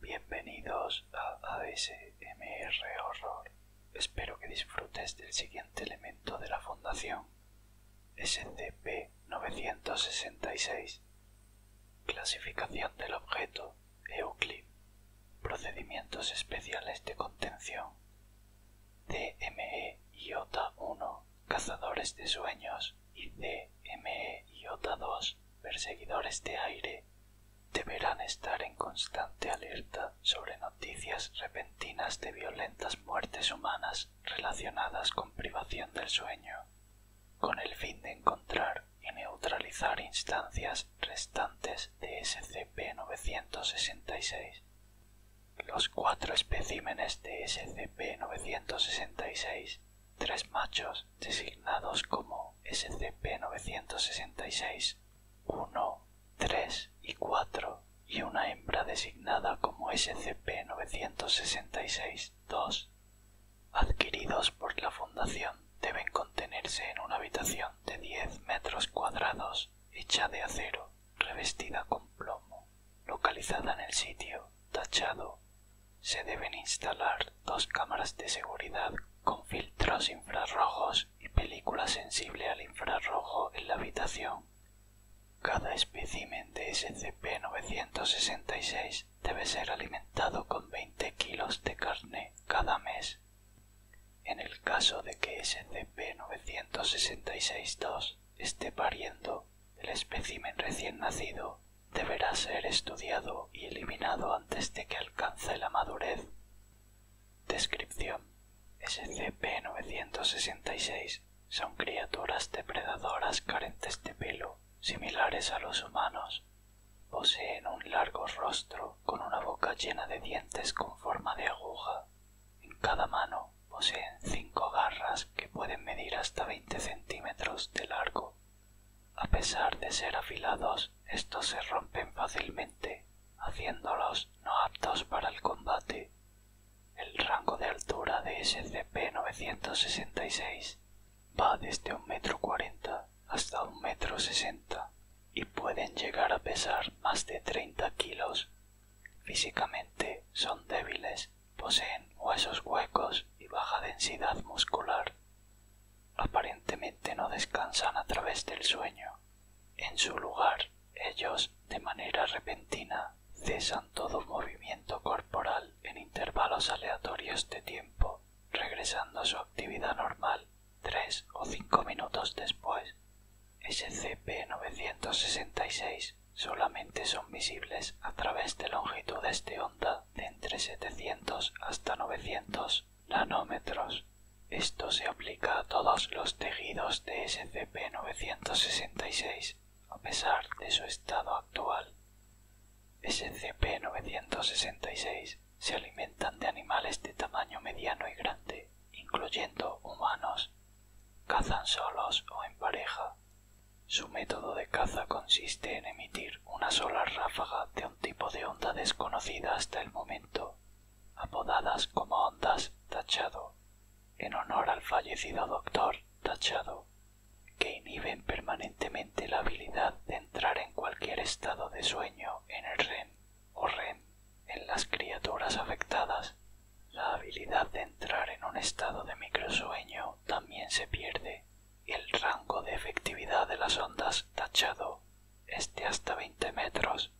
Bienvenidos a ASMR Horror. Espero que disfrutes del siguiente elemento de la Fundación, SCP-966. Clasificación del objeto, Euclid. Procedimientos especiales de contención. CME-1 Cazadores de Sueños y CME-2 Perseguidores de Aire deberán estar en constante alerta sobre noticias repentinas de violentas muertes humanas relacionadas con privación del sueño, con el fin de encontrar y neutralizar instancias restantes de SCP-966. Los cuatro especímenes de SCP-966, tres machos designados como SCP-966, 1, 3 y 4, y una hembra designada como SCP-966-2, adquiridos por la Fundación, deben contenerse en una habitación de 10 metros cuadrados hecha de acero revestida con plomo, localizada en el sitio tachado, se deben instalar dos cámaras de seguridad con filtros infrarrojos y película sensible al infrarrojo en la habitación. Cada espécimen de SCP-966 debe ser alimentado con 20 kilos de carne cada mes en el caso de que scp 966 esté pariendo, el espécimen recién nacido deberá ser estudiado y eliminado antes de que alcance la madurez. Descripción. SCP-966 son criaturas depredadoras carentes de pelo, similares a los humanos. Poseen un largo rostro con una boca llena de dientes con forma de aguja en cada mano poseen cinco garras que pueden medir hasta veinte centímetros de largo. A pesar de ser afilados, estos se rompen fácilmente, haciéndolos no aptos para el combate. El rango de altura de SCP-966 va desde un metro cuarenta hasta metro sesenta y pueden llegar a pesar más de treinta kilos. Físicamente son débiles, poseen huesos huecos y baja densidad muscular. Aparentemente no descansan a través del sueño. En su lugar, ellos, de manera repentina, cesan todo movimiento corporal en intervalos aleatorios de tiempo, regresando a su actividad normal Tres o cinco minutos después, SCP-966 solamente son visibles a través de longitudes de onda de entre 700 hasta 900 nanómetros. Esto se aplica a todos los tejidos de SCP-966 a pesar de su estado actual. SCP-966 se alimentan de animales de tamaño mediano y grande, incluyendo humanos. Cazan solos o en pareja. Su método de caza consiste en emitir una sola ráfaga de un tipo de onda desconocida hasta el momento, apodadas como ondas tachado, en honor al fallecido doctor tachado, que inhiben permanentemente la habilidad de entrar en cualquier estado de sueño en el REM en las criaturas afectadas, la habilidad de entrar en un estado de microsueño también se pierde y el rango de efectividad de las ondas tachado es de hasta 20 metros.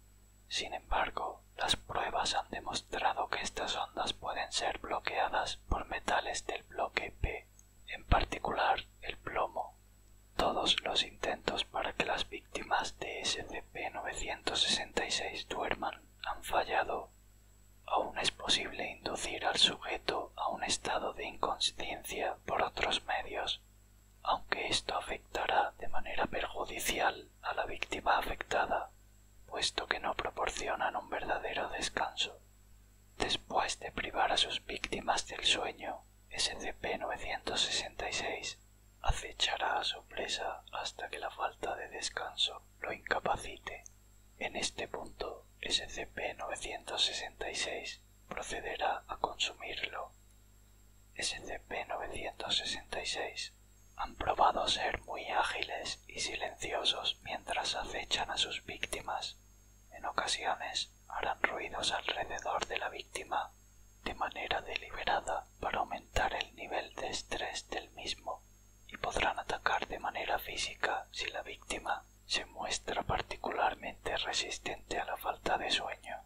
Sin embargo, las pruebas han demostrado que estas ondas pueden ser bloqueadas por metales del bloque P, en particular el plomo todos los intentos para que las víctimas de SCP-966 duerman han fallado. Aún es posible inducir al sujeto a un estado de inconsciencia por otros medios, aunque esto afectará de manera perjudicial a la víctima afectada, puesto que no proporcionan un verdadero descanso. Después de privar a sus víctimas del sueño, SCP-966 acechará a su presa hasta que la falta de descanso lo incapacite. En este punto, SCP-966 procederá a consumirlo. SCP-966 han probado ser muy ágiles y silenciosos mientras acechan a sus víctimas. En ocasiones harán ruidos alrededor de la víctima de manera deliberada para aumentar el nivel de estrés del mismo y podrán atacar de manera física si la víctima se muestra particularmente resistente a la falta de sueño.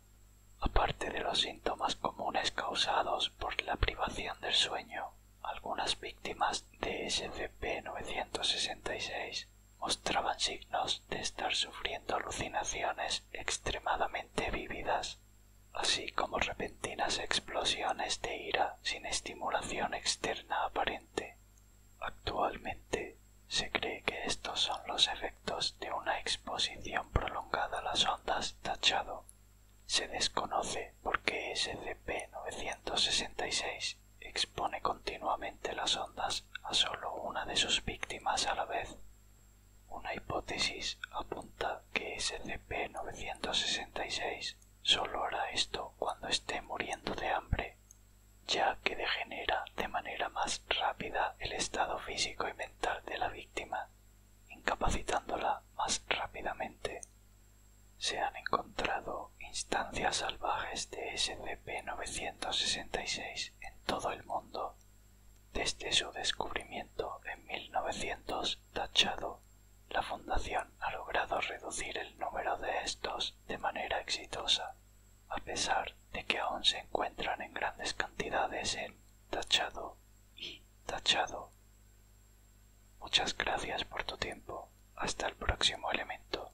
Aparte de los síntomas comunes causados por la privación del sueño, algunas víctimas de SCP-966 mostraban signos de estar sufriendo alucinaciones extremadamente vívidas, así como repentinas explosiones de ira sin estimulación externa aparente. Actualmente se cree que estos son los efectos de una exposición prolongada a las ondas tachado. Se desconoce por qué SCP-966 expone continuamente las ondas a solo una de sus víctimas a la vez. Una hipótesis apunta que SCP-966 solo hará esto cuando esté muriendo de hambre, ya que degenera de manera más rápida el estado físico y mental de la víctima, incapacitándola más rápidamente. Se han encontrado instancias salvajes de SCP-966 en todo el mundo desde su descubrimiento en 1900 tachado, la fundación ha logrado reducir el número de estos de manera exitosa, a pesar de que aún se encuentran en grandes cantidades en tachado y tachado. Muchas gracias por tu tiempo. Hasta el próximo elemento.